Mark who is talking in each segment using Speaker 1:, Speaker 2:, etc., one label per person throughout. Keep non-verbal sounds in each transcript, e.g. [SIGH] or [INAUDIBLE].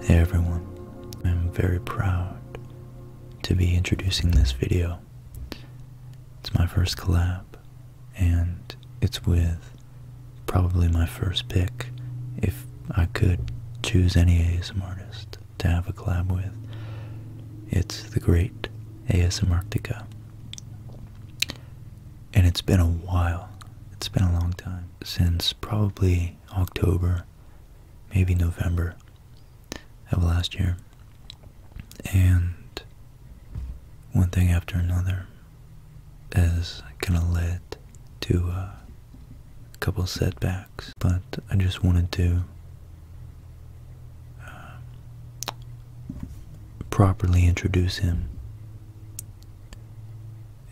Speaker 1: Hey everyone, I'm very proud to be introducing this video. It's my first collab, and it's with probably my first pick if I could choose any ASMR artist to have a collab with. It's the great ASMarctica. And it's been a while. It's been a long time since probably October, maybe November of last year. And one thing after another has kind of led to a couple setbacks. But I just wanted to uh, properly introduce him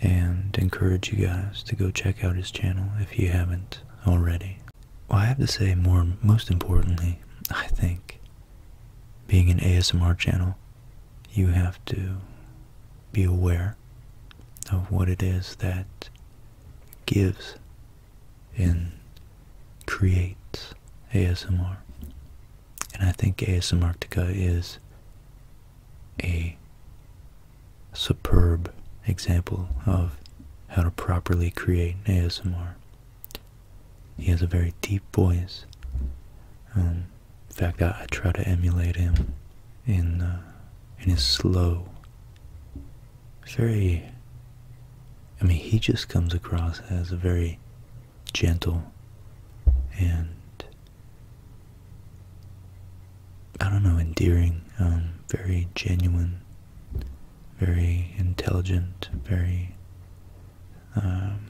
Speaker 1: and encourage you guys to go check out his channel if you haven't already. Well, I have to say more, most importantly, I think being an ASMR channel, you have to be aware of what it is that gives in create ASMR. And I think ASMRtica is a superb example of how to properly create ASMR. He has a very deep voice. Um, in fact, I, try to emulate him in uh, in his slow. Very. I mean, he just comes across as a very gentle and I don't know, endearing, um, very genuine, very intelligent, very um,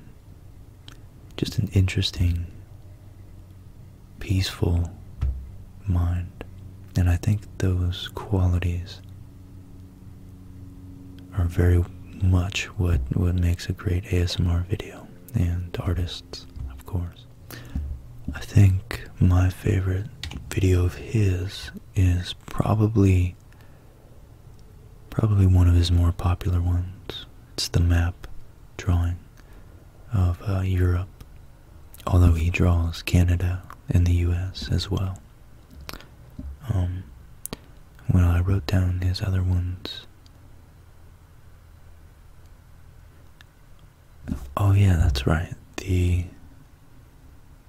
Speaker 1: just an interesting, peaceful mind. And I think those qualities are very much what what makes a great ASMR video and artists, of course. I think my favorite video of his is probably probably one of his more popular ones. It's the map drawing of uh, Europe, although he draws Canada and the US as well. Um, when I wrote down his other ones. Oh yeah, that's right. The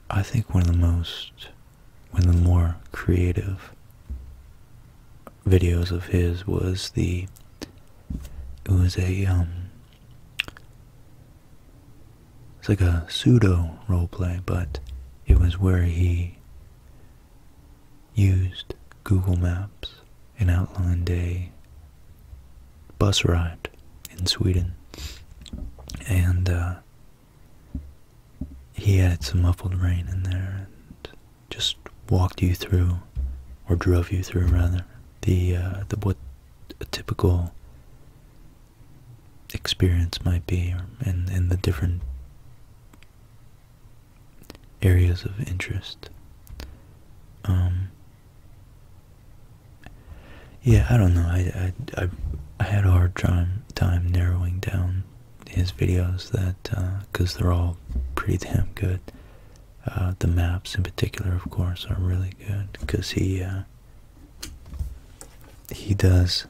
Speaker 1: I think one of the most, one of the more creative videos of his was the. It was a um. It's like a pseudo role play, but it was where he used Google Maps, and outlined a bus ride in Sweden, and uh, he added some muffled rain in there and just walked you through, or drove you through rather, the, uh, the what a typical experience might be, and, and the different areas of interest. Um, yeah, I don't know. I, I, I, had a hard time time narrowing down his videos that because uh, they're all pretty damn good. Uh, the maps in particular, of course, are really good because he uh, he does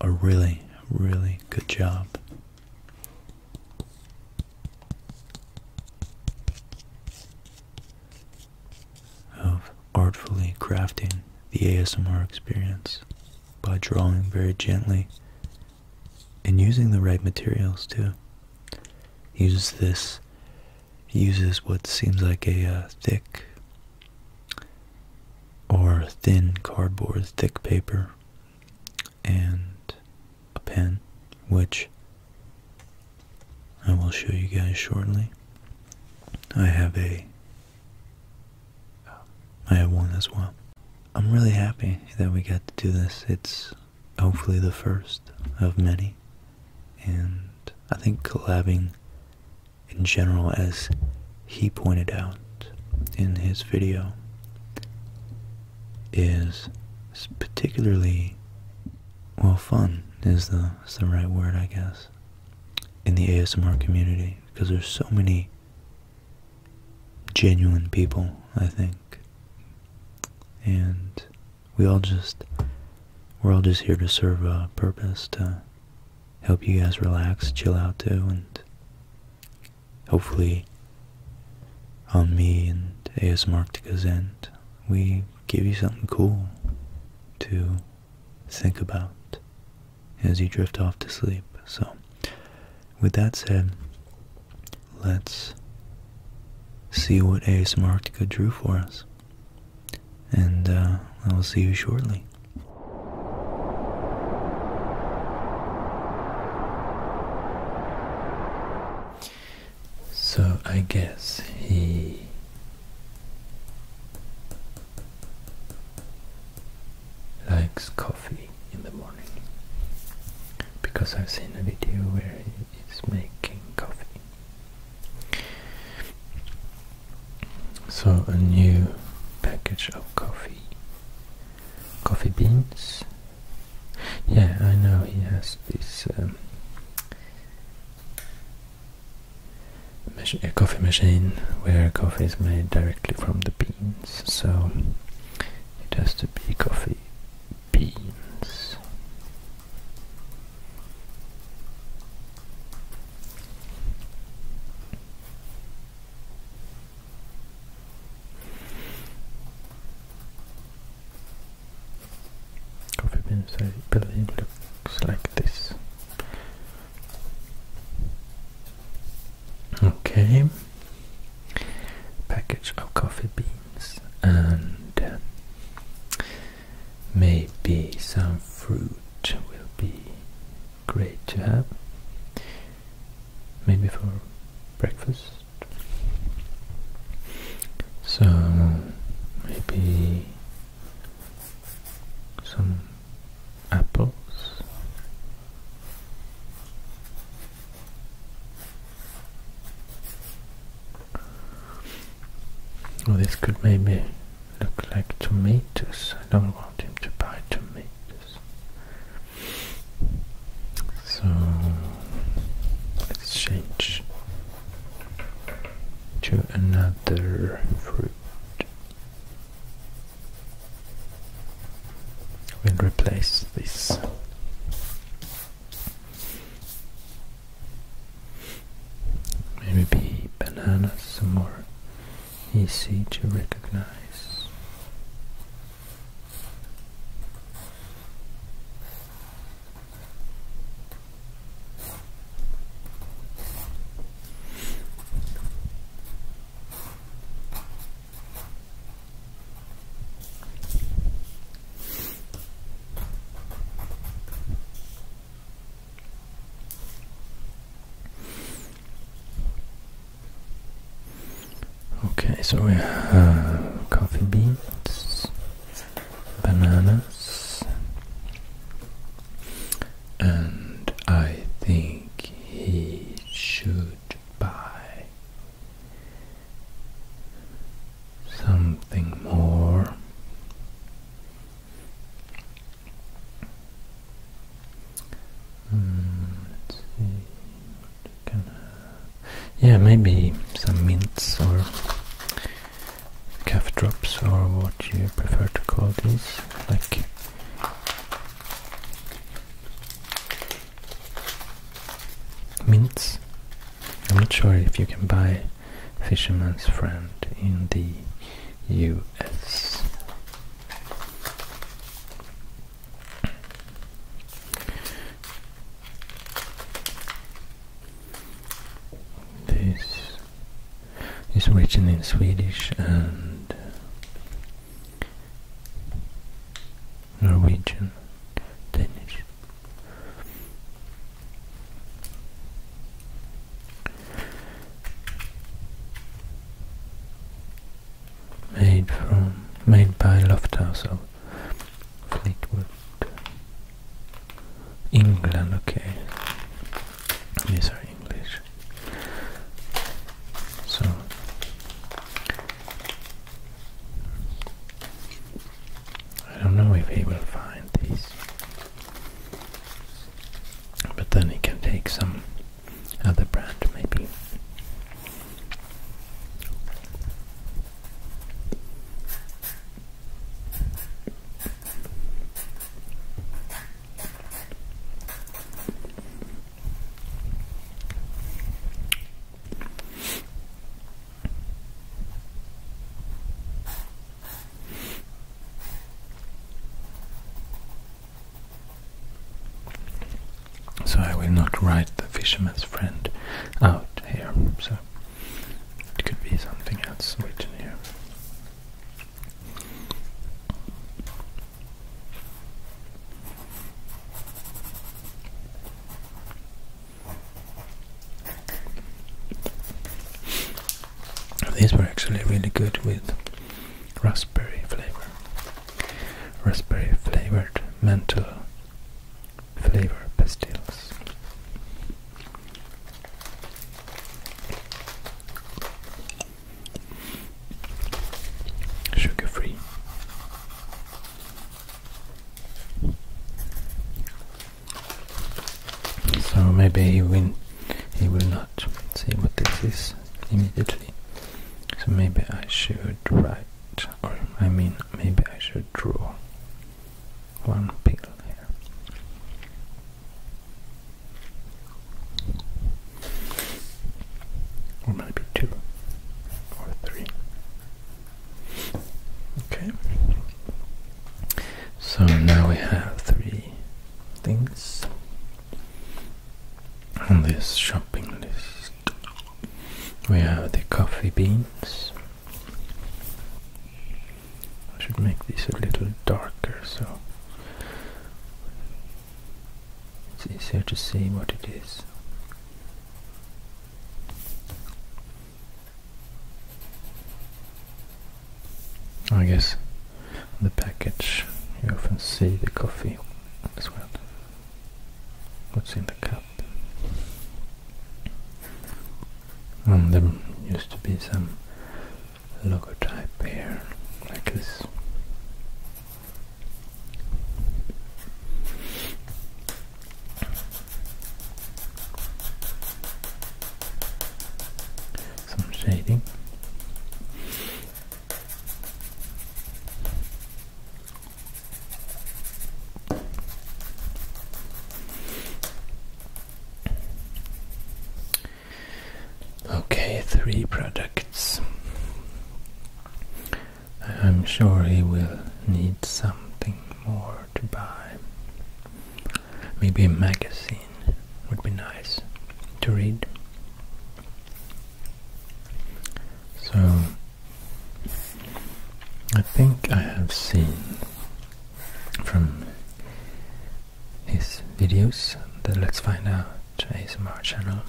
Speaker 1: a really, really good job. Of artfully crafting the ASMR experience by drawing very gently and using the right materials too. He uses this, uses what seems like a uh, thick or thin cardboard, thick paper, and a pen, which I will show you guys shortly. I have a, I have one as well. I'm really happy that we got to do this. It's hopefully the first of many, and I think collabing in general, as he pointed out in his video, is particularly well fun is the is the right word I guess in the ASMR community because there's so many genuine people I think and we all just we're all just here to serve a purpose to help you guys relax, chill out too, and hopefully on me and ASMarktica's end, we give you something cool to think about as you drift off to sleep. So, with that said, let's see what ASMarktica drew for us. And uh, I will see you shortly.
Speaker 2: So I guess he likes coffee in the morning because I've seen a video where he's making coffee. So a new package of coffee. Coffee beans. Yeah, I know he has this um, a coffee machine where coffee is made directly from the beans. So it has to be coffee beans. Coffee beans, I believe, looks like this. Okay, package of coffee beans and uh, maybe some fruit will be great to have maybe for breakfast so maybe some apples or oh, this could maybe look like tomatoes. I don't want him to buy tomatoes. So let's change to another fruit. We'll replace this. Maybe bananas, some more easy to recognize. Okay, so we have coffee beans, bananas, and I think he should buy something more. Yeah, maybe some mints or cough drops or what you prefer to call these. Like mints. I'm not sure if you can buy Fisherman's Friend in the US. This is written in Swedish and Norwegian, Danish made from made by Lofthouse of Fleetwood, England. Okay, these are English. So I don't know if he will find these, but then he can take some other brand maybe. So I will not write the fisherman's friend out here. So it could be something else written here. These were actually really good with raspberry flavor raspberry flavored menthol flavor pastilles. Sugar free. So maybe he will, he will not not see what this is immediately. So maybe I should write, or I mean, maybe I should draw one pill here. Or maybe two, or three. Okay. So now we have three things on this shopping list we have the coffee beans. I should make this a little darker so it's easier to see what it is. I guess on the package you often see the coffee as well. What's in the cup? And there used to be some logo type here, like this. Some shading. Okay, three products. I'm sure he will need something more to buy. Maybe a magazine would be nice to read. So, I think I have seen from his videos, that Let's Find Out his channel,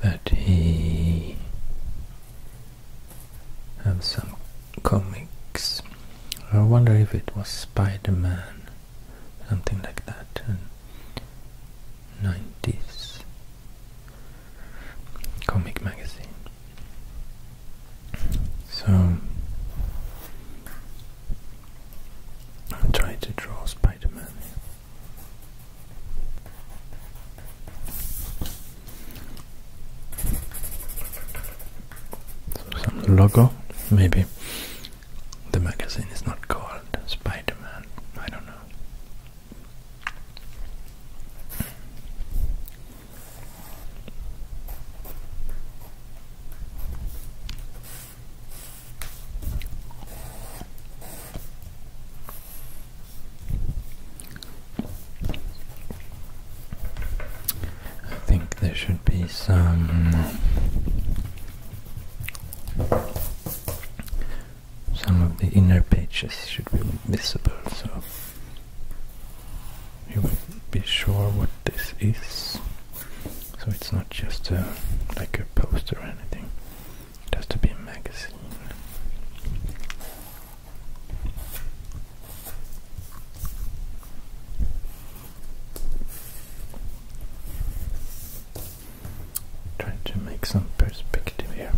Speaker 2: that he have some comics. I wonder if it was Spider-Man, something like that. 90s comic magazine. So I am trying to draw Spider Man. some logo, maybe the magazine is not called Spider-Man, I don't know. I think there should be some some of the inner pages should be visible so you will be sure what this is so it's not just a, like a poster or anything it has to be a magazine Try to make some perspective here.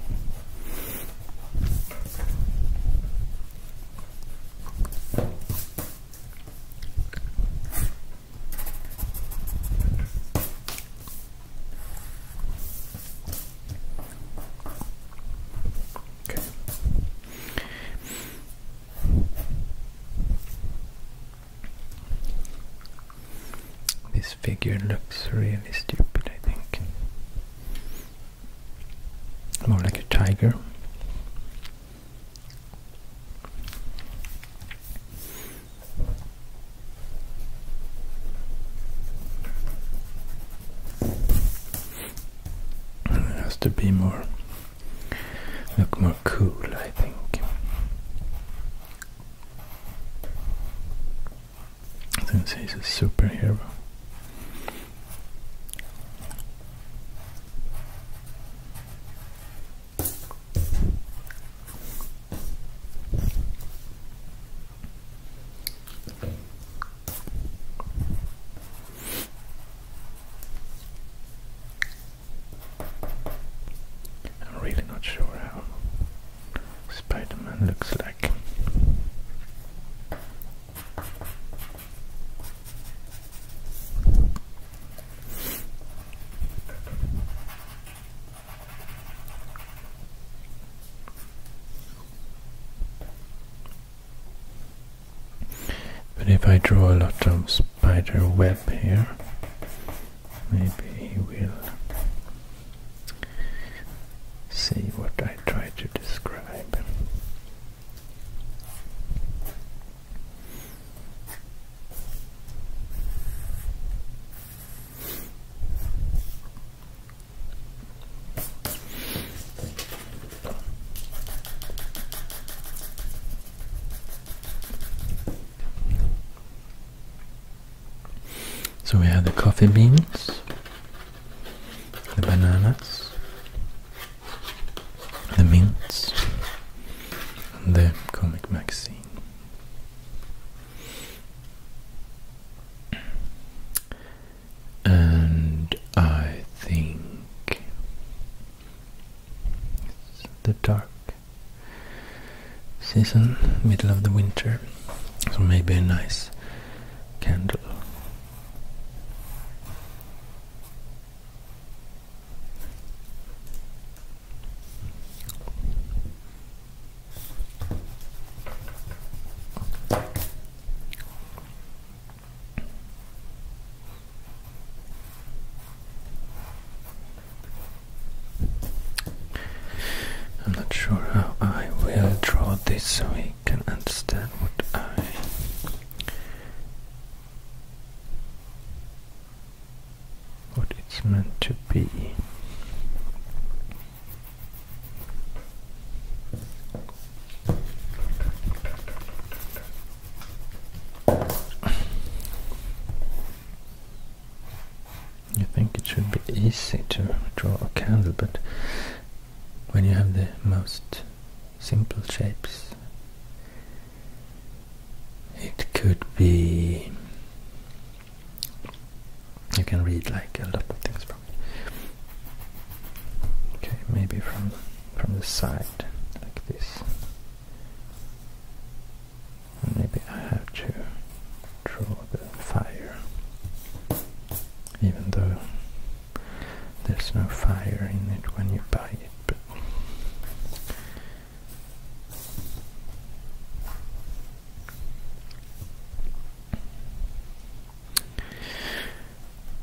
Speaker 2: Okay. This figure looks really stupid, I think. More like a tiger. It has to be more, look more cool, I think. Since he's a superhero. I'm really not sure how Spider-Man looks like. But if I draw a lot of spider web here, Maybe he will see what I try to describe. So we have the coffee beans, the bananas, the mints, and the comic magazine. And I think it's the dark season, middle of the winter, so maybe a nice candle. I'm not sure how I will draw this so he can understand what I what it's meant to be. You think it should be easy to draw a candle, but when you have the most simple shapes, it could be. You can read like a lot of things from it. Okay, maybe from from the side, like this. Maybe I have to draw the fire, even though there's no fire in it when you buy it.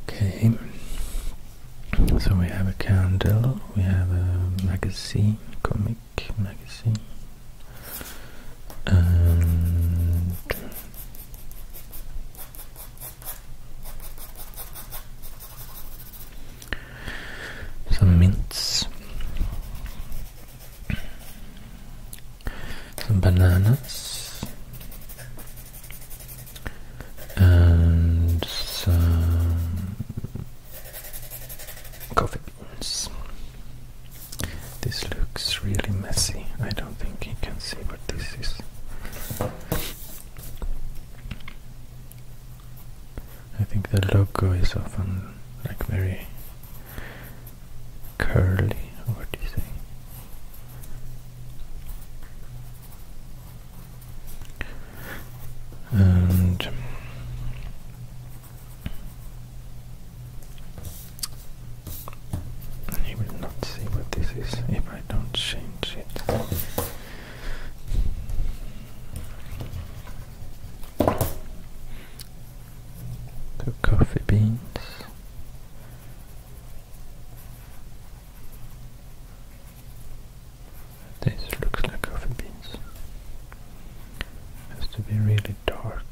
Speaker 2: Okay, so we have a candle, we have a magazine, comic magazine and some mints, some bananas, and some coffee. This looks really messy. I don't think you can see what this is. I think the logo is often like very curly, what do you say? And you will not see what this is if I don't change it. coffee beans. This looks like coffee beans has to be really dark.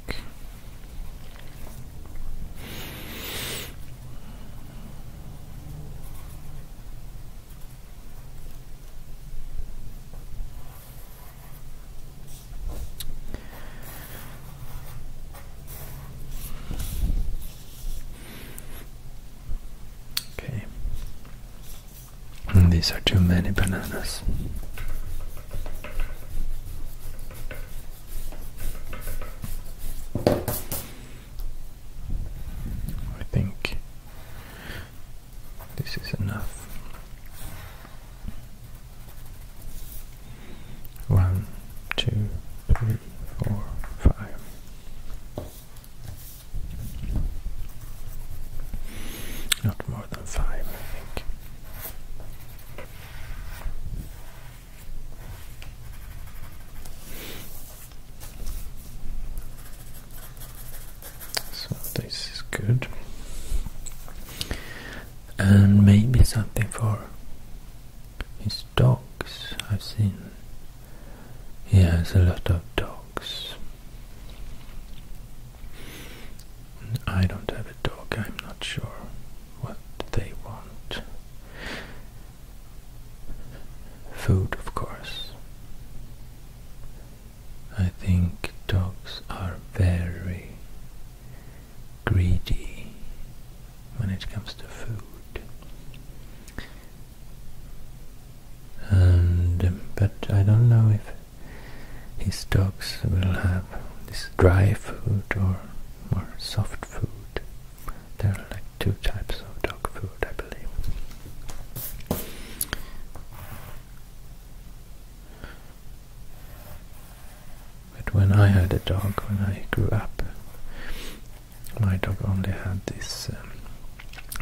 Speaker 2: Okay, these are too many bananas. I think this is enough. One, two, three, four, five. Not more so this is good. And maybe something for his dogs. I've seen he has a lot of dogs. I don't have a dog, I'm not sure what they want. Food, of course. I think dogs are very greedy when it comes to food. And but I don't know if his dogs will have this dry food or more soft food. There are like two types of dog food, I believe. But when I had a dog, when I grew up, my dog only had this um,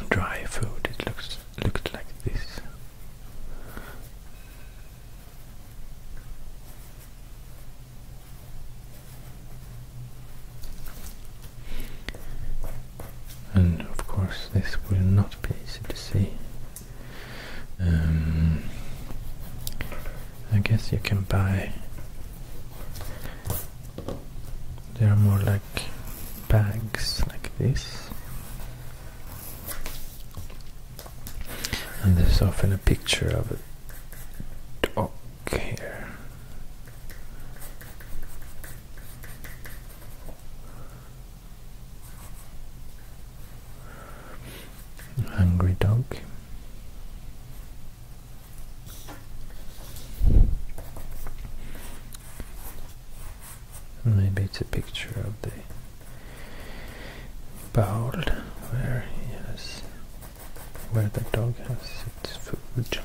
Speaker 2: dry food. It looks looked like this. And of course, this will not be easy to see. Um, I guess you can buy. There are more like bags like this and there's often a picture of a dog here. A hungry dog maybe it's a picture of the bowl where yes where the dog has its food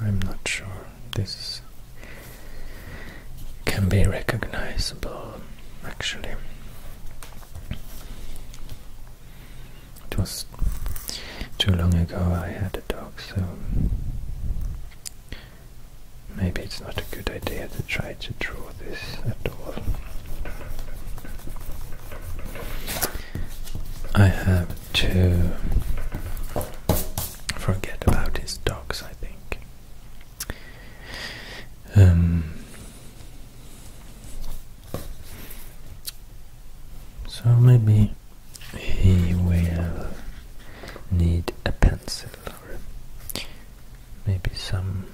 Speaker 2: I'm not sure this can be recognizable actually. It was too long ago I had a dog, so maybe it's not a good idea to try to draw this at all. I have to forget about his dogs, I think. Um, so maybe he will need a pencil or maybe some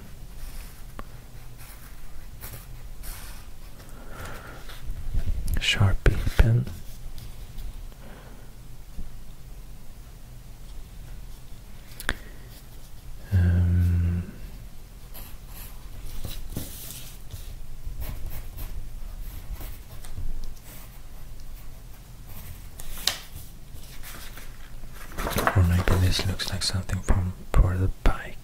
Speaker 2: Sharpie pen. Um, or maybe this looks like something from for the bike.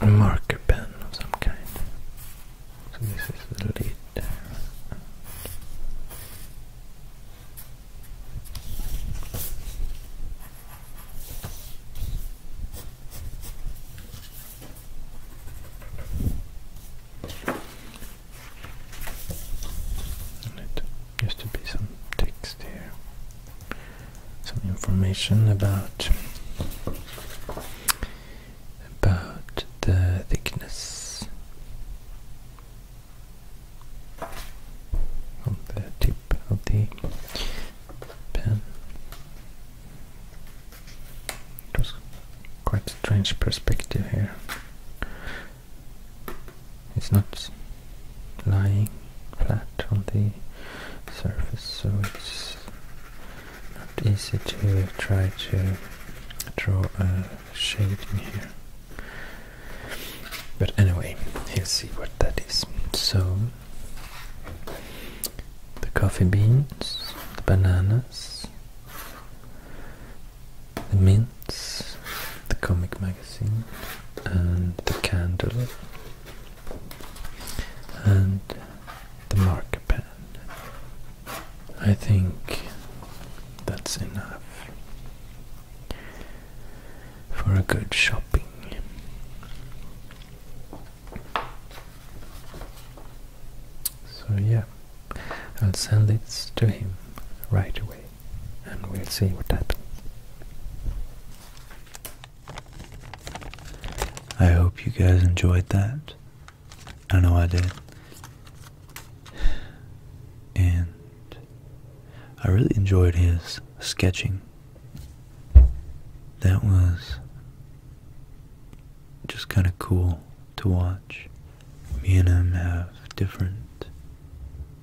Speaker 2: A marker pen of some kind. So this is the lid. There, it used to be some text here, some information about about the thickness on the tip of the pen. It was quite strange perspective here. It's not lying flat on the surface, so it's not easy to try to draw a shade in here. But anyway, you will see what that is. So, the coffee beans, the bananas, the mints, the comic magazine, and the candle, and the marker pen. I think that's enough for a good shopping. So, yeah, I'll send this to
Speaker 1: him right away and we'll see what happens. I hope you guys enjoyed that. I know I did And I really enjoyed his sketching. That was just kind of cool to watch. Me and him have different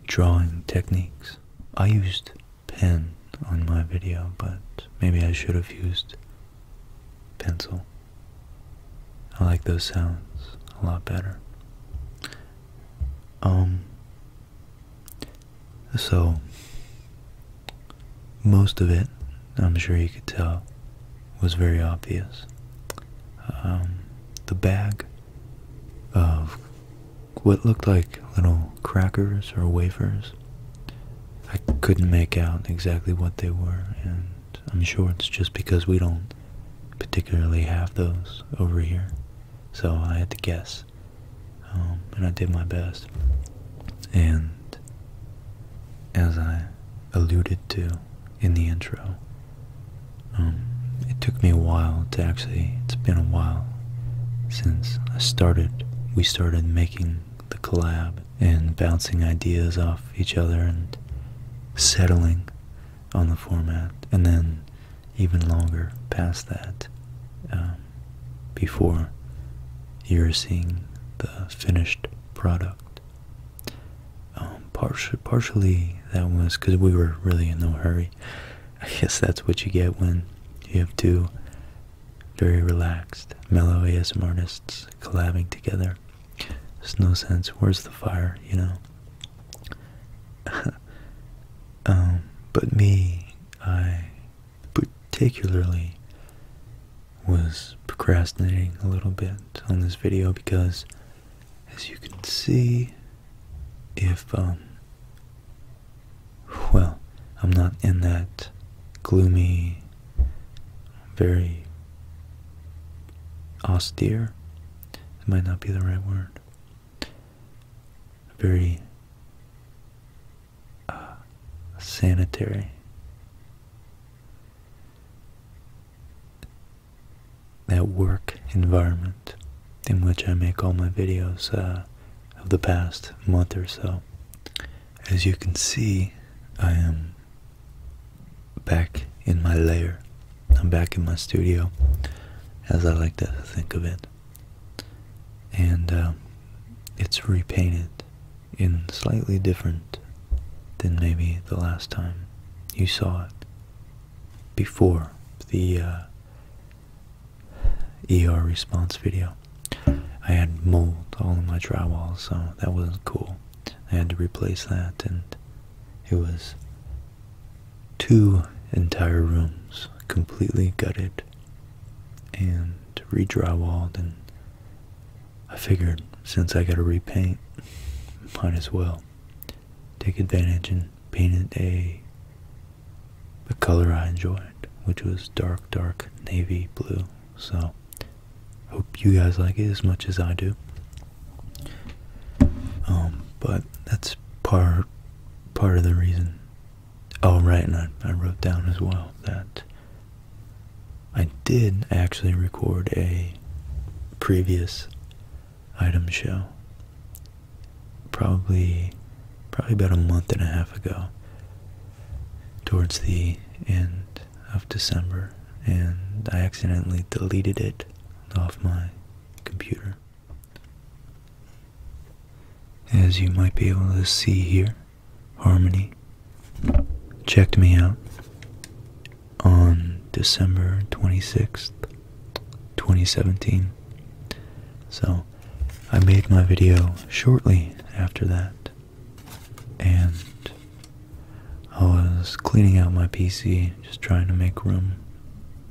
Speaker 1: drawing techniques. I used pen on my video, but maybe I should have used pencil. I like those sounds a lot better. Um, so most of it, I'm sure you could tell, was very obvious. Um, the bag of what looked like little crackers or wafers. I couldn't make out exactly what they were, and I'm sure it's just because we don't particularly have those over here. So I had to guess. Um, and I did my best. And as I alluded to in the intro, um, it took me a while to actually, it's been a while since I started, we started making the collab and bouncing ideas off each other and settling on the format, and then even longer past that um, before you're seeing the finished product. Um, partially, that was because we were really in no hurry. [LAUGHS] I guess that's what you get when you have two very relaxed, mellow ASM artists collabing together it's no sense. Where's the fire? You know. [LAUGHS] Um, but me, I particularly was procrastinating a little bit on this video because, as you can see, if um, well, I'm not in that gloomy very austere, it might not be the right word, very uh, sanitary. That work environment in which I make all my videos uh, of the past month or so. As you can see, I am back in my lair. I'm back in my studio, as I like to think of it. And uh, it's repainted in slightly different than maybe the last time you saw it before the ER response video. I had mold all in my drywall, so that wasn't cool. I had to replace that, and it was two entire rooms completely gutted and redrywalled. And I figured since I got to repaint, [LAUGHS] might as well take advantage and paint it a the color I enjoyed, which was dark, dark navy blue. So Hope you guys like it as much as I do. Um, but that's part part of the reason. Oh, right, and I wrote down as well that I did actually record a previous item show. Probably, probably about a month and a half ago. Towards the end of December, and I accidentally deleted it off my computer. As you might be able to see here, Harmony checked me out on December 26th, 2017. So I made my video shortly after that and I was cleaning out my PC, just trying to make room,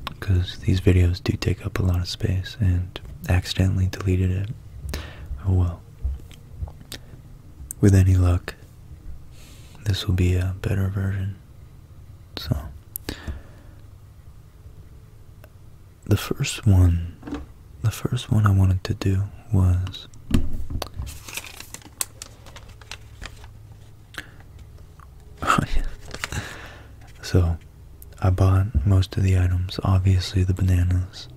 Speaker 1: because these videos do take up a lot of space, and accidentally deleted it. Oh well. With any luck, this will be a better version. So, the first one, the first one I wanted to do was [LAUGHS] so, I bought most of the items. Obviously, the bananas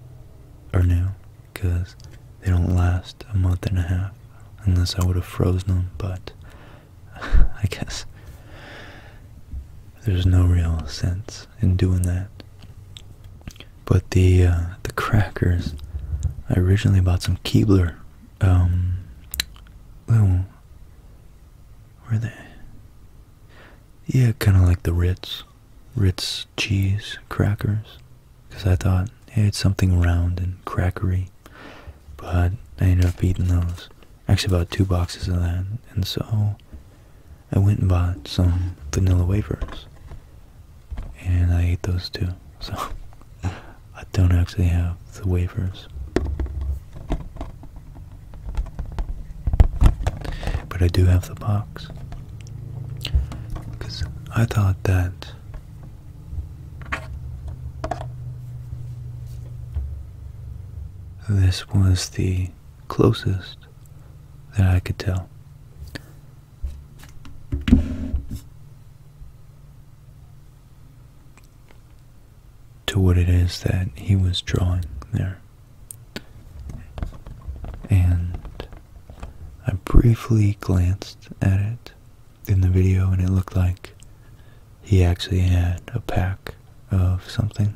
Speaker 1: are new because they don't last a month and a half unless I would have frozen them, but [LAUGHS] I guess there's no real sense in doing that. But the uh, the crackers, I originally bought some Keebler. Um, little, where they? Yeah, kind of like the Ritz, Ritz cheese crackers, because I thought hey, it's something round and crackery. But I ended up eating those. Actually, bought two boxes of that, and so I went and bought some vanilla wafers and I ate those too. So [LAUGHS] I don't actually have the wafers. But I do have the box. Because I thought that this was the closest that I could tell to what it is that he was drawing there. And I briefly glanced at it in the video, and it looked like he actually had a pack of something,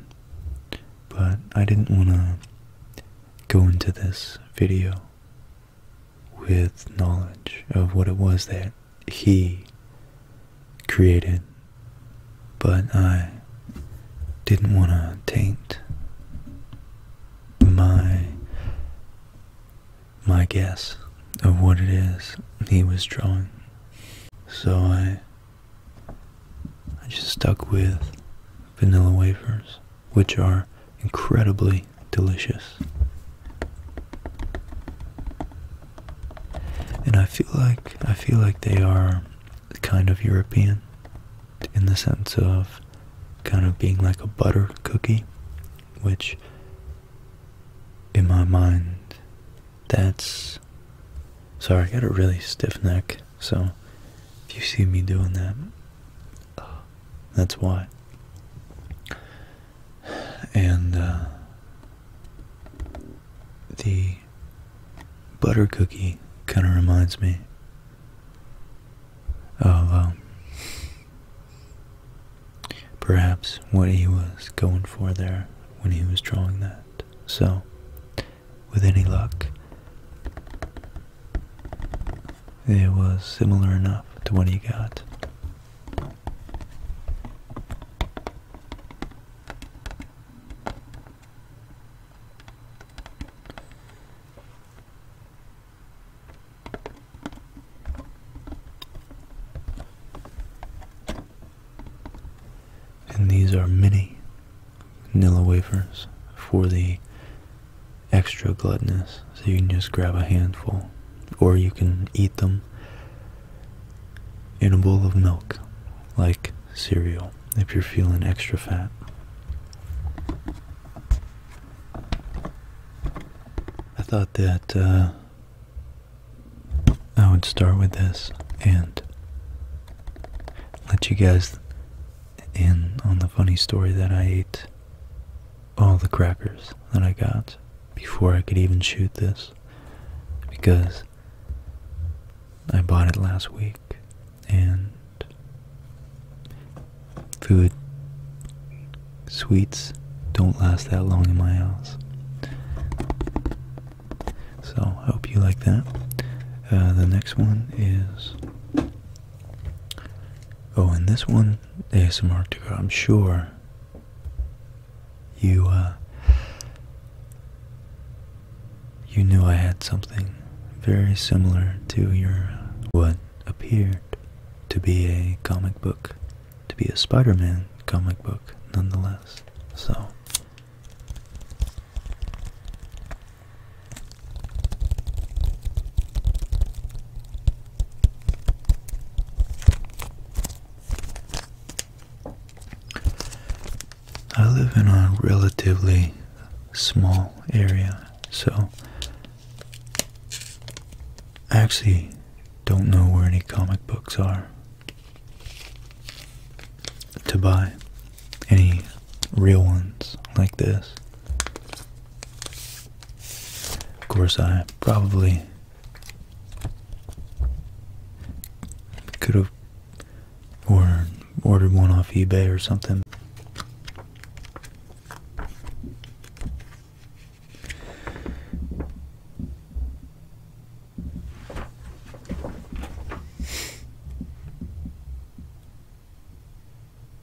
Speaker 1: but I didn't want to go into this video with knowledge of what it was that he created, but I didn't want to taint my my guess of what it is he was drawing. So I I just stuck with vanilla wafers which are incredibly delicious. And I feel like I feel like they are kind of European in the sense of kind of being like a butter cookie, which in my mind that's sorry, I got a really stiff neck, so if you see me doing that, that's why. And uh, the butter cookie kind of reminds me of um, perhaps what he was going for there when he was drawing that. So, with any luck, it was similar enough to what he got. And these are mini Nilla wafers for the extra glutinous, so you can just grab a handful, or you can eat them in a bowl of milk, like cereal, if you're feeling extra fat. I thought that uh, I would start with this and let you guys in on the funny story that I ate all the crackers that I got before I could even shoot this because I bought it last week and food, sweets don't last that long in my house. So I hope you like that. Uh, the next one is. Oh, and this one ASMR to go. I'm sure you uh, you knew I had something very similar to your what appeared to be a comic book, to be a Spider-Man comic book, nonetheless. So. I live in a relatively small area, so I actually don't know where any comic books are to buy any real ones like this. Of course, I probably could have or ordered one off eBay or something.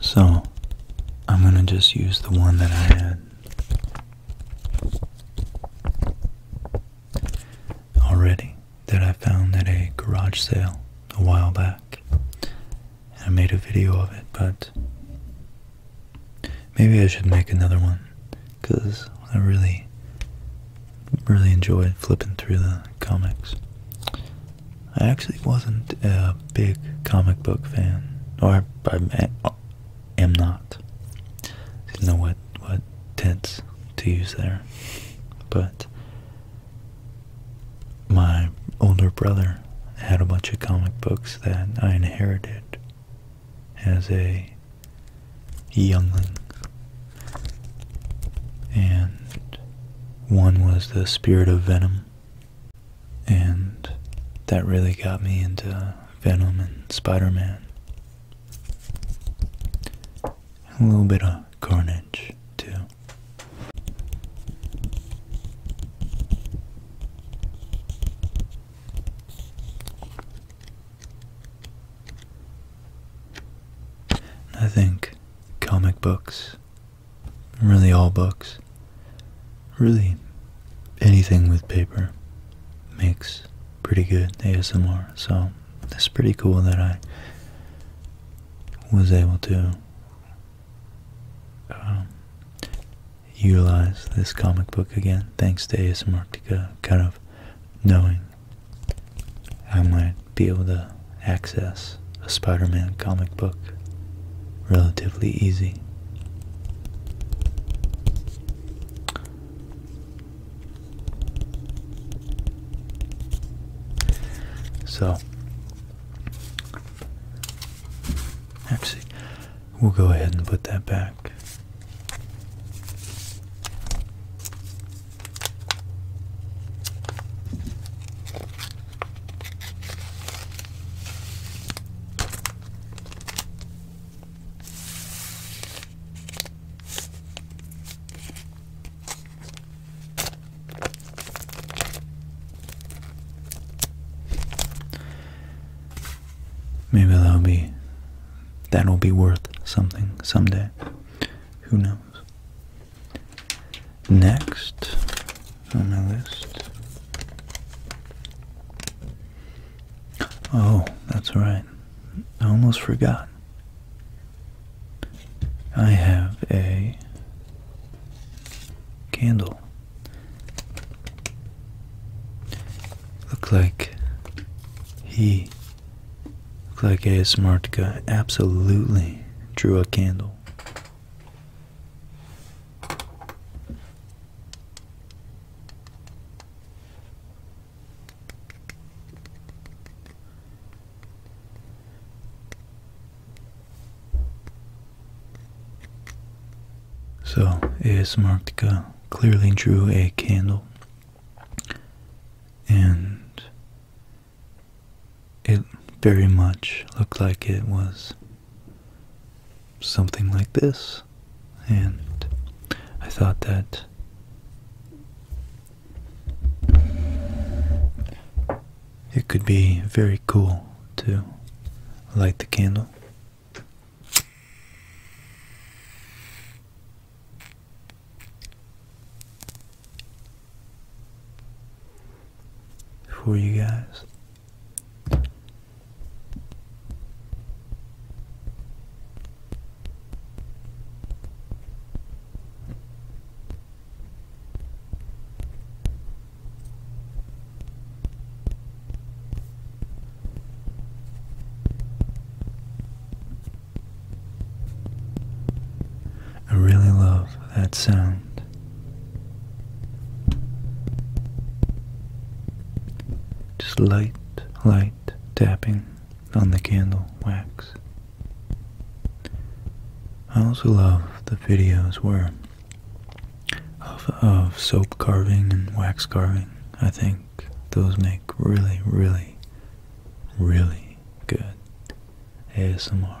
Speaker 1: So, I'm going to just use the one that I had already that I found at a garage sale a while back. I made a video of it, but maybe I should make another one because I really, really enjoyed flipping through the comics. I actually wasn't a big comic book fan, or I, am not. Didn't know what what tense to use there, but my older brother had a bunch of comic books that I inherited as a youngling, and one was the Spirit of Venom and that really got me into Venom and Spider Man. A little bit of Carnage, too. I think comic books really all books, really anything with paper makes pretty good ASMR. So it's pretty cool that I was able to um, utilize this comic book again, thanks to ASMRtica, kind of knowing I might be able to access a Spider Man comic book relatively easy. So, actually, we'll go ahead and put that back. Maybe that'll be that'll be worth something someday. Who knows? Next on my list. Oh, that's right. I almost forgot. I have a candle. Look like he look like a smart guy absolutely drew a candle. So, A.S. Marktica clearly drew a candle and it very much looked like it was something like this. And I thought that it could be very cool to light the candle for you guys. I really love that sound just light, light tapping on the candle wax. I also love the videos where of, soap carving and wax carving. I think those make really, really, really good ASMR.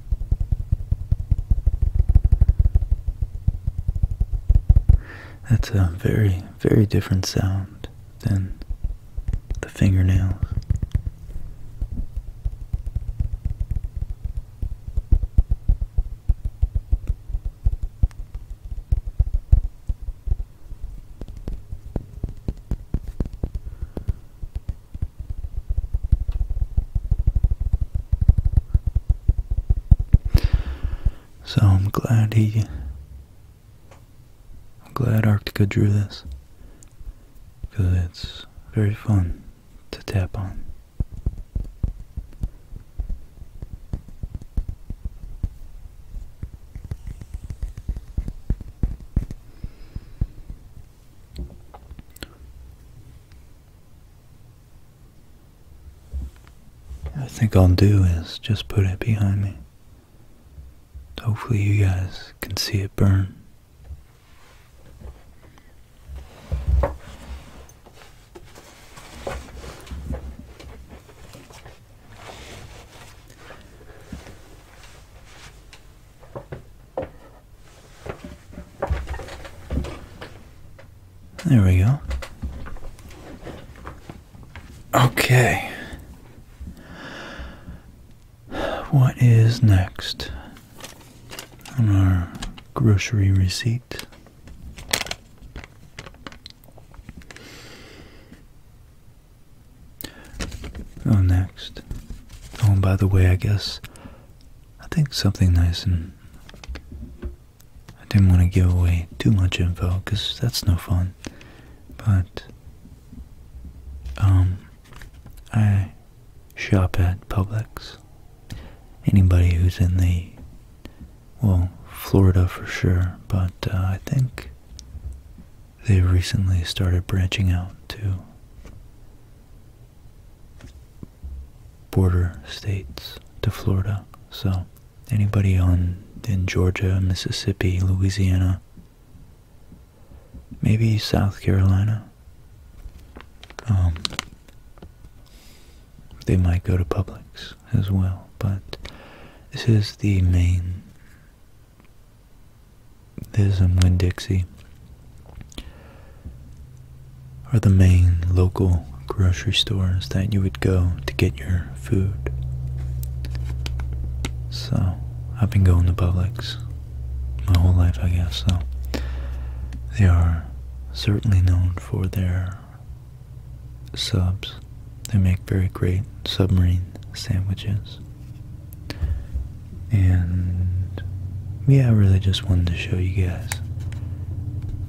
Speaker 1: That's a very, very different sound than the fingernails. So I'm glad he. I'm glad Arctica drew this. Because it's very fun to tap on. I think I'll do is just put it behind me. Hopefully you guys can see it burn. There we go. Okay. What is next on our grocery receipt? Oh, next. Oh, and by the way, I guess I think something nice and I didn't want to give away too much info because that's no fun. But um I shop at Publix. Anybody who's in the well, Florida for sure, but uh, I think they recently started branching out to border states to Florida. So anybody on in Georgia, Mississippi, Louisiana, maybe South Carolina, um, they might go to Publix as well. But this is the main. This is in Winn-Dixie are the main local grocery stores that you would go to get your food. So, I've been going to Publix my whole life, I guess, so they are certainly known for their subs. They make very great submarine sandwiches. And yeah, I really just wanted to show you guys,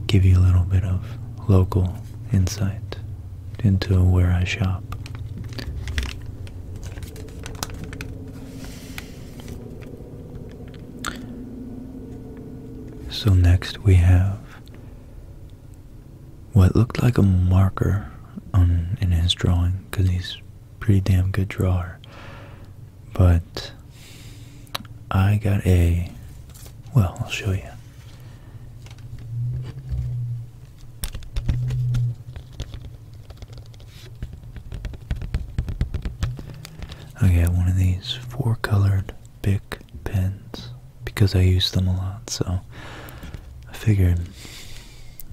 Speaker 1: give you a little bit of local insight into where I shop. So next we have what looked like a marker on in his drawing because he's pretty damn good drawer but I got a. Well, I'll show you. I got one of these four colored big pens because I use them a lot, so I figured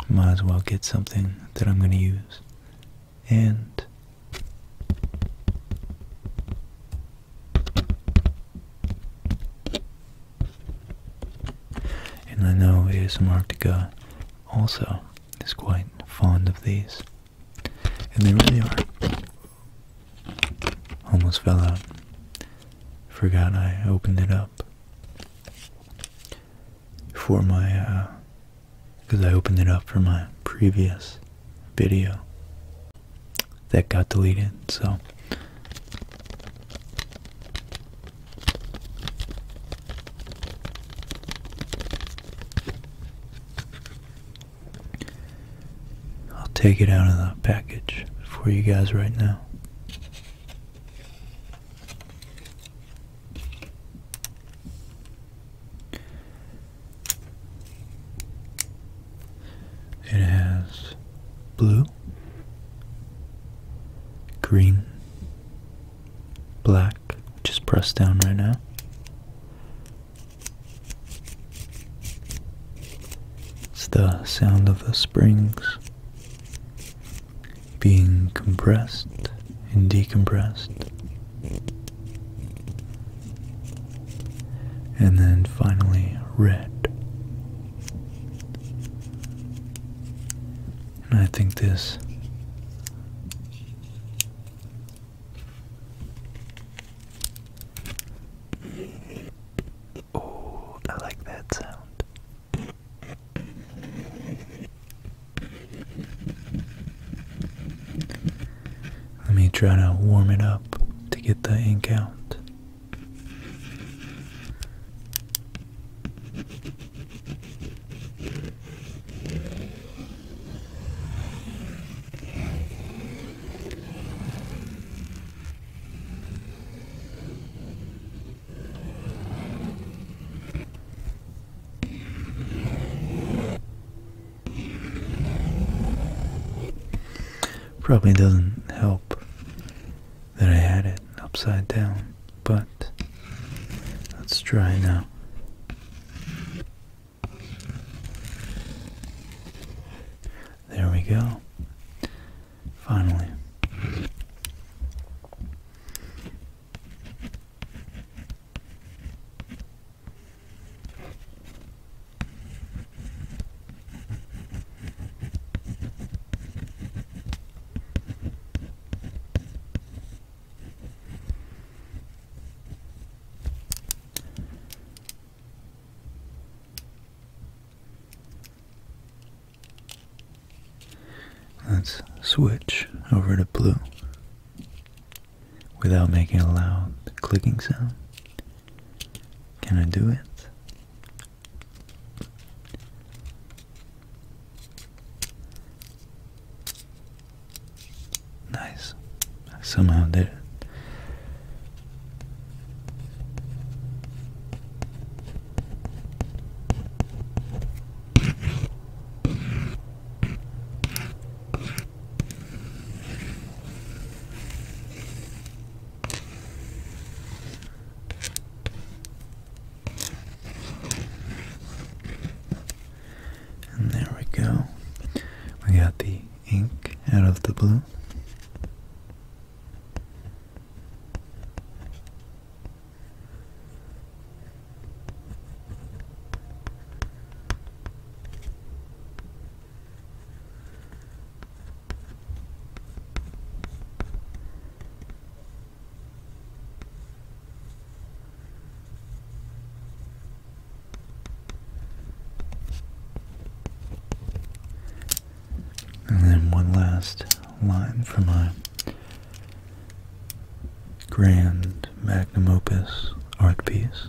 Speaker 1: might as well get something that I'm going to use and and I know ASMRtica also is quite fond of these. And they really are. Almost fell out. Forgot I opened it up for my uh, because I opened it up for my previous video that got deleted. So I'll take it out of the package for you guys right now. It has blue, green, black, Just is pressed down right now. It's the sound of the springs being compressed and decompressed and then finally, red. And I think this Oh, I like that sound. Let me try to warm it up to get the ink out. Probably doesn't help that I had it upside down, but let's try now. There we go. Finally. Let's switch over to blue without making a loud clicking sound. Can I do it? Nice. somehow did it. And there we go. We got the ink out of the blue. And then one last line from my grand magnum opus art piece.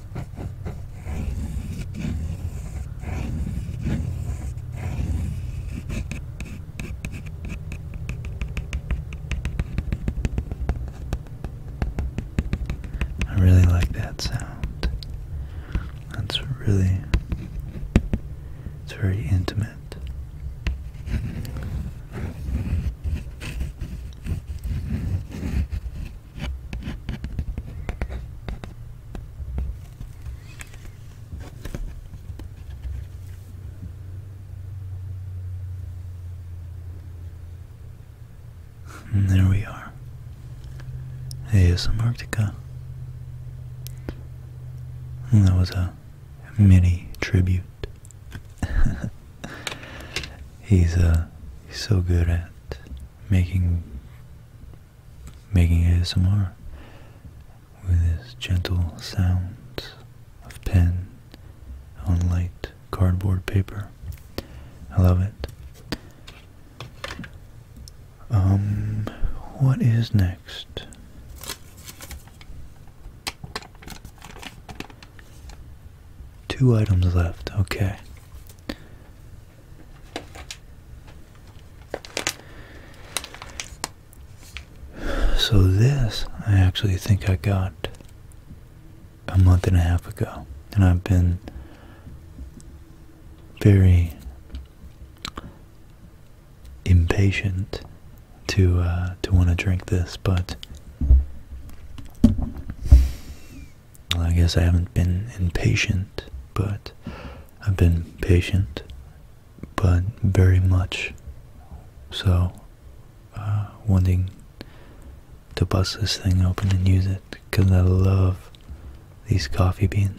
Speaker 1: I really like that sound. That's really it's very intimate there we are. ASM Arctica. that was a mini tribute. [LAUGHS] he's uh he's so good at making making ASMR with his gentle sounds of pen on light cardboard paper. I love it. Um, what is next? Two items left, okay. So this, I actually think I got a month and a half ago. And I've been very impatient to uh, to want to drink this, but I guess I haven't been impatient, but I've been patient, but very much so, uh, wanting to bust this thing open and use it because I love these coffee beans.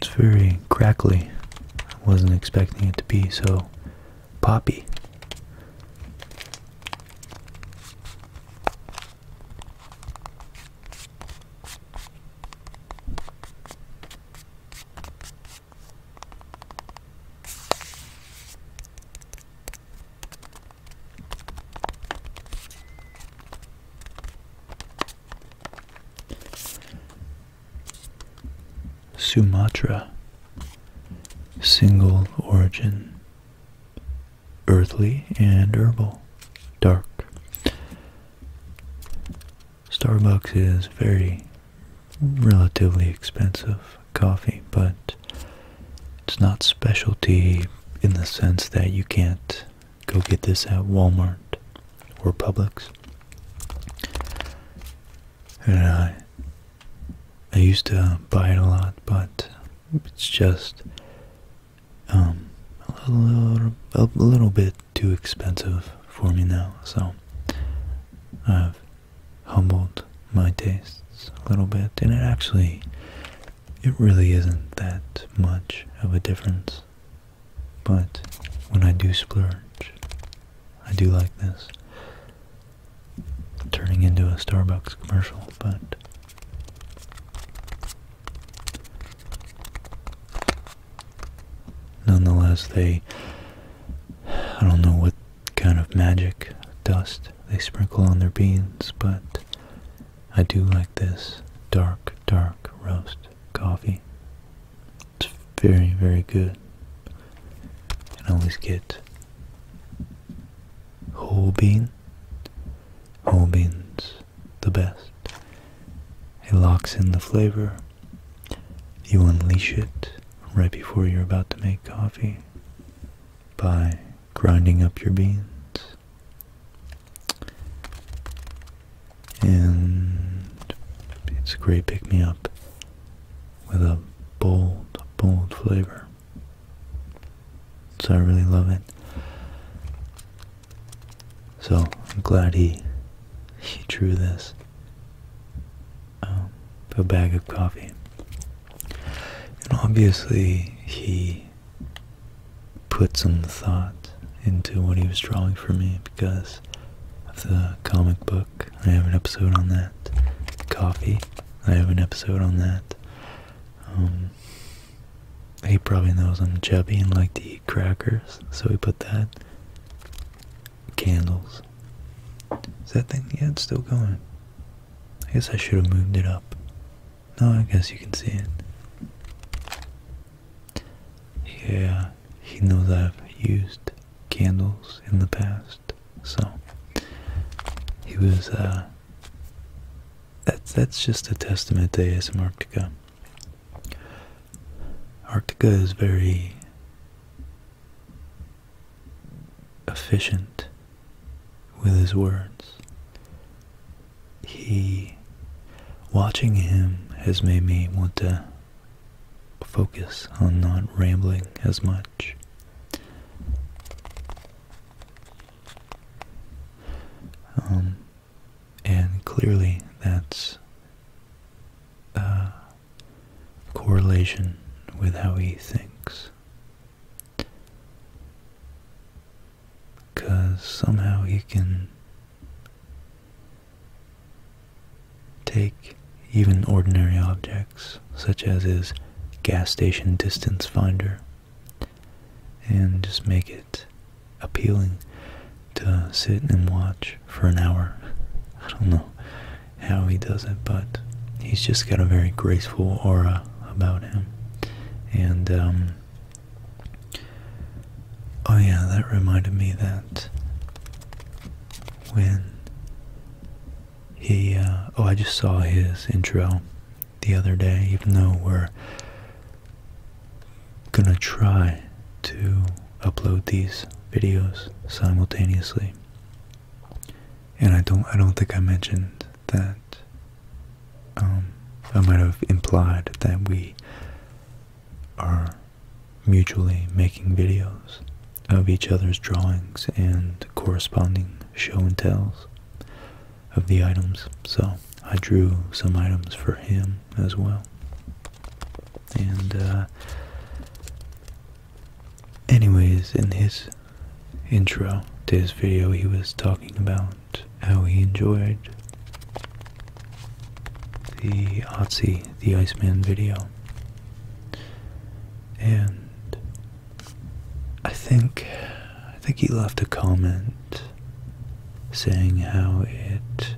Speaker 1: It's very crackly. I wasn't expecting it to be so poppy. Sumatra, single origin, earthly and herbal, dark. Starbucks is very relatively expensive coffee, but it's not specialty in the sense that you can't go get this at Walmart or Publix. And I, I used to buy it a lot, but it's just um, a little, a little bit too expensive for me now. So I've humbled my tastes a little bit, and it actually, it really isn't that much of a difference. But when I do splurge, I do like this turning into a Starbucks commercial, but nonetheless, they, I don't know what kind of magic dust they sprinkle on their beans, but I do like this dark, dark roast coffee. It's very, very good. And always get whole bean. Whole beans, the best. It locks in the flavor. You unleash it right before you're about to make coffee by grinding up your beans. And it's a great pick-me-up with a bold, bold flavor. So I really love it. So I'm glad he he drew this. Um, a bag of coffee. And obviously, he put some thought into what he was drawing for me because of the comic book. I have an episode on that. Coffee. I have an episode on that. Um, he probably knows I'm chubby and like to eat crackers, so he put that. Candles. Is that thing? Yeah, it's still going. I guess I should have moved it up. No, I guess you can see it. Yeah, he knows I've used candles in the past, so he was, uh, that's, that's just a testament to ASMRctica. Arctica is very efficient with his words. He, watching him has made me want to focus on not rambling as much. Um, and clearly that's uh, correlation with how he thinks. Because somehow he can take even ordinary objects, such as his gas station distance finder, and just make it appealing to sit and watch for an hour. [LAUGHS] I don't know how he does it, but he's just got a very graceful aura about him. And, um, oh yeah, that reminded me that when he, uh, oh, I just saw his intro the other day, even though we're gonna try to upload these videos simultaneously and I don't I don't think I mentioned that um, I might have implied that we are mutually making videos of each other's drawings and corresponding show and tells of the items. So I drew some items for him as well. And uh, Anyways, in his intro to his video, he was talking about how he enjoyed the Otzi, the Iceman video. And I think I think he left a comment saying how it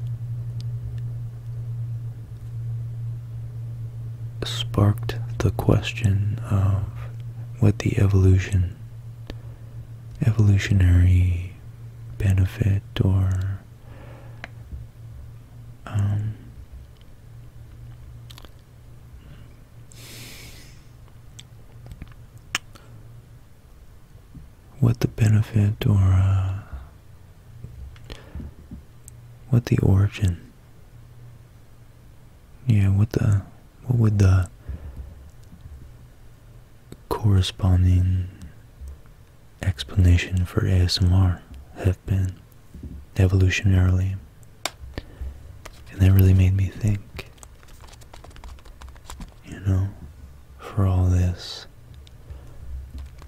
Speaker 1: sparked the question of what the evolution, evolutionary benefit or um, what the benefit or uh, what the origin yeah, what the what would the corresponding explanation for ASMR have been evolutionarily? And that really made me think. You know, for all this,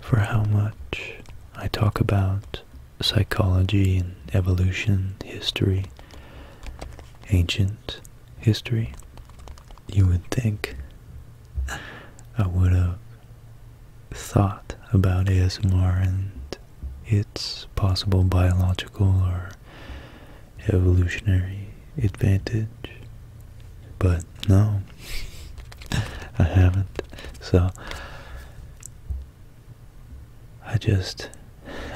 Speaker 1: for how much I talk about psychology and evolution history, ancient history, you would think I would have thought about ASMR and its possible biological or evolutionary advantage, but no, [LAUGHS] I haven't. So, I just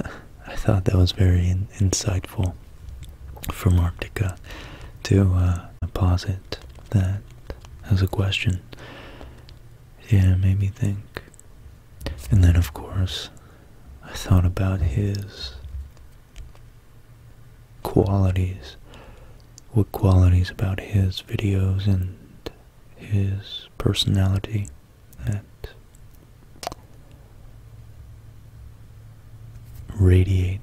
Speaker 1: [LAUGHS] I thought that was very insightful from Arctica to uh, posit that as a question. Yeah, it made me think. And then, of course, I thought about his qualities. What qualities about his videos and his personality that radiate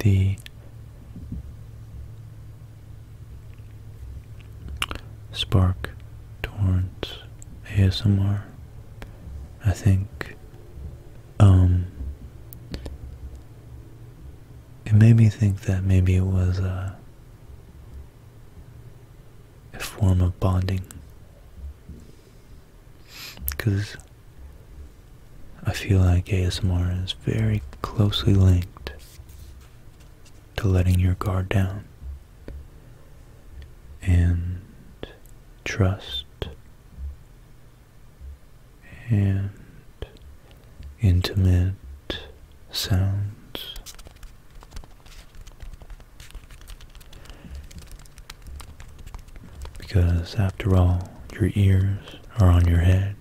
Speaker 1: the spark towards ASMR. I think um it made me think that maybe it was uh a form of bonding because I feel like ASMR is very closely linked to letting your guard down and trust and intimate sounds. Because after all, your ears are on your head,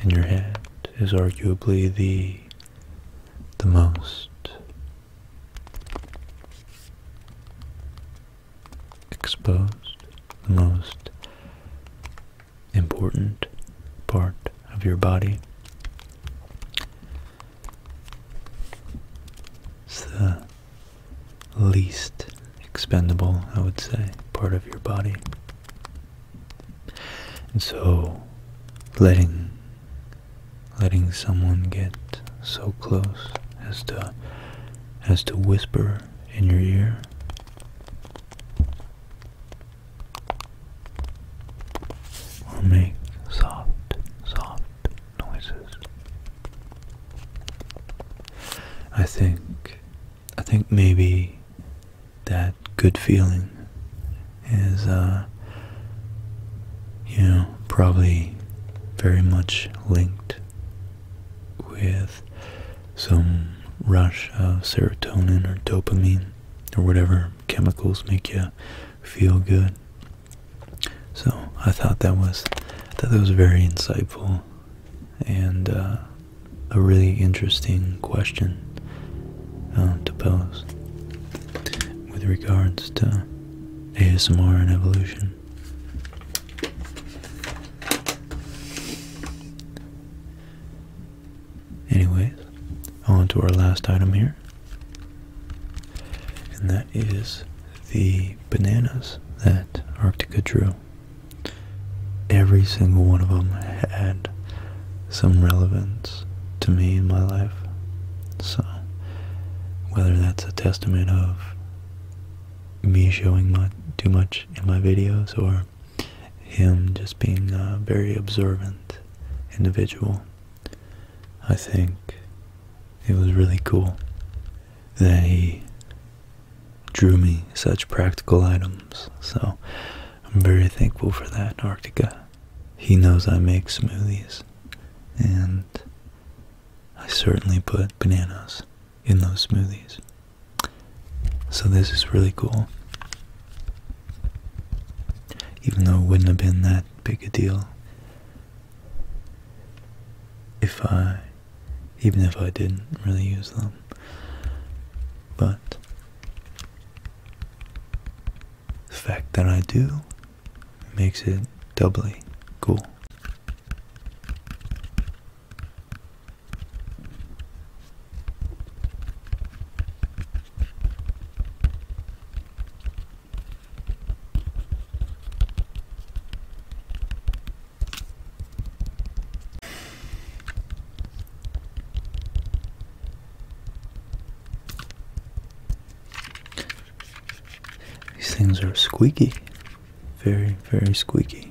Speaker 1: and your head is arguably the the most exposed, the most important part of your body. It's the least expendable, I would say, part of your body. And so letting letting someone get so close as to as to whisper in your ear will make soft, soft noises. I think, I think maybe that good feeling is, uh, you know, probably very much linked with some rush of serotonin or dopamine or whatever chemicals make you feel good. So I thought that was that, was very insightful and uh, a really interesting question uh, to pose with regards to ASMR and evolution. Anyways, on to our last item here. And that is the bananas that Arctica drew. Every single one of them had some relevance to me in my life. So, whether that's a testament of me showing my, too much in my videos or him just being uh, very observant individual. I think it was really cool that he drew me such practical items. So I'm very thankful for that, Arctica. He knows I make smoothies, and I certainly put bananas in those smoothies. So this is really cool. Even though it wouldn't have been that big a deal if I, even if I didn't really use them. But the fact that I do makes it doubly cool. These things are squeaky, very, very squeaky.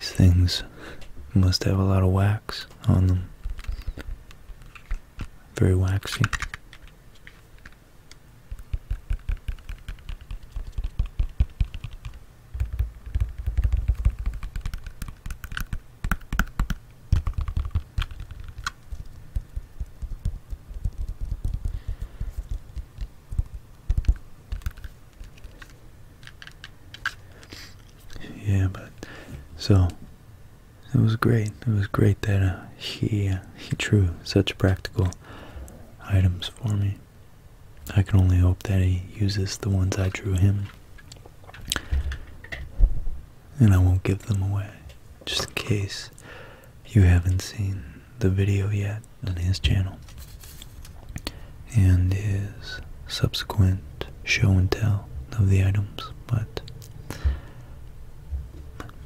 Speaker 1: These things must have a lot of wax on them. Very waxy. Yeah, but so it was great. It was great that uh, he uh, he drew such practical items for me. I can only hope that he uses the ones I drew him, and I won't give them away, just in case you haven't seen the video yet on his channel and his subsequent show and tell of the items, but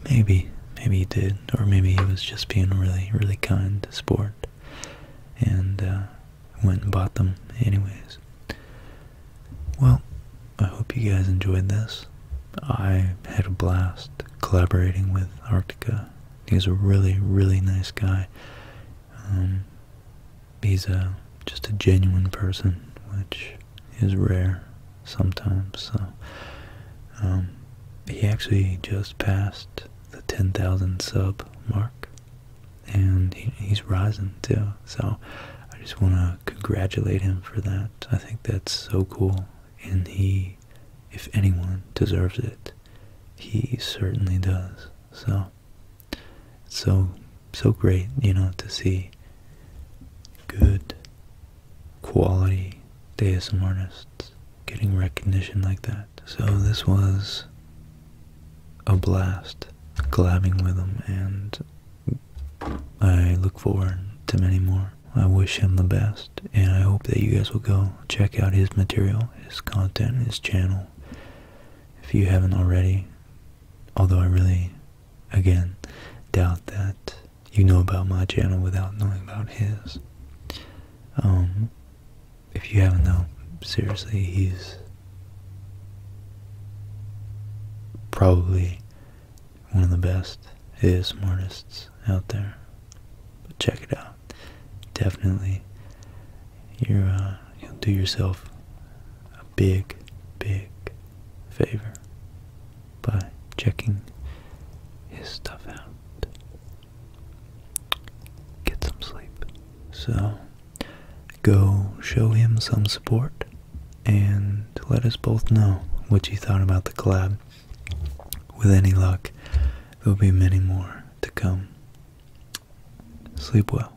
Speaker 1: maybe, maybe he did, or maybe he was just being really, really kind sport and uh, went and bought them anyways. Well, I hope you guys enjoyed this. I had a blast collaborating with Arctica. He's a really, really nice guy. Um, He's a, just a genuine person, which is rare sometimes. So um, he actually just passed the 10,000 sub mark, and he's rising too. So I just want to congratulate him for that. I think that's so cool, and he, if anyone, deserves it. He certainly does. So so so great, you know, to see good quality DSM artists getting recognition like that. So this was a blast collabing with him and I look forward to many more. I wish him the best and I hope that you guys will go check out his material, his content, his channel. If you haven't already, although I really, again, doubt that you know about my channel without knowing about his. Um, if you haven't though, seriously, he's probably one of the best ASM artists out there. But check it out. Definitely, you're uh, you'll do yourself a big, big favor by checking his stuff out. Get some sleep. So, go show him some support and let us both know what you thought about the collab. With any luck, there will be many more to come. Sleep well.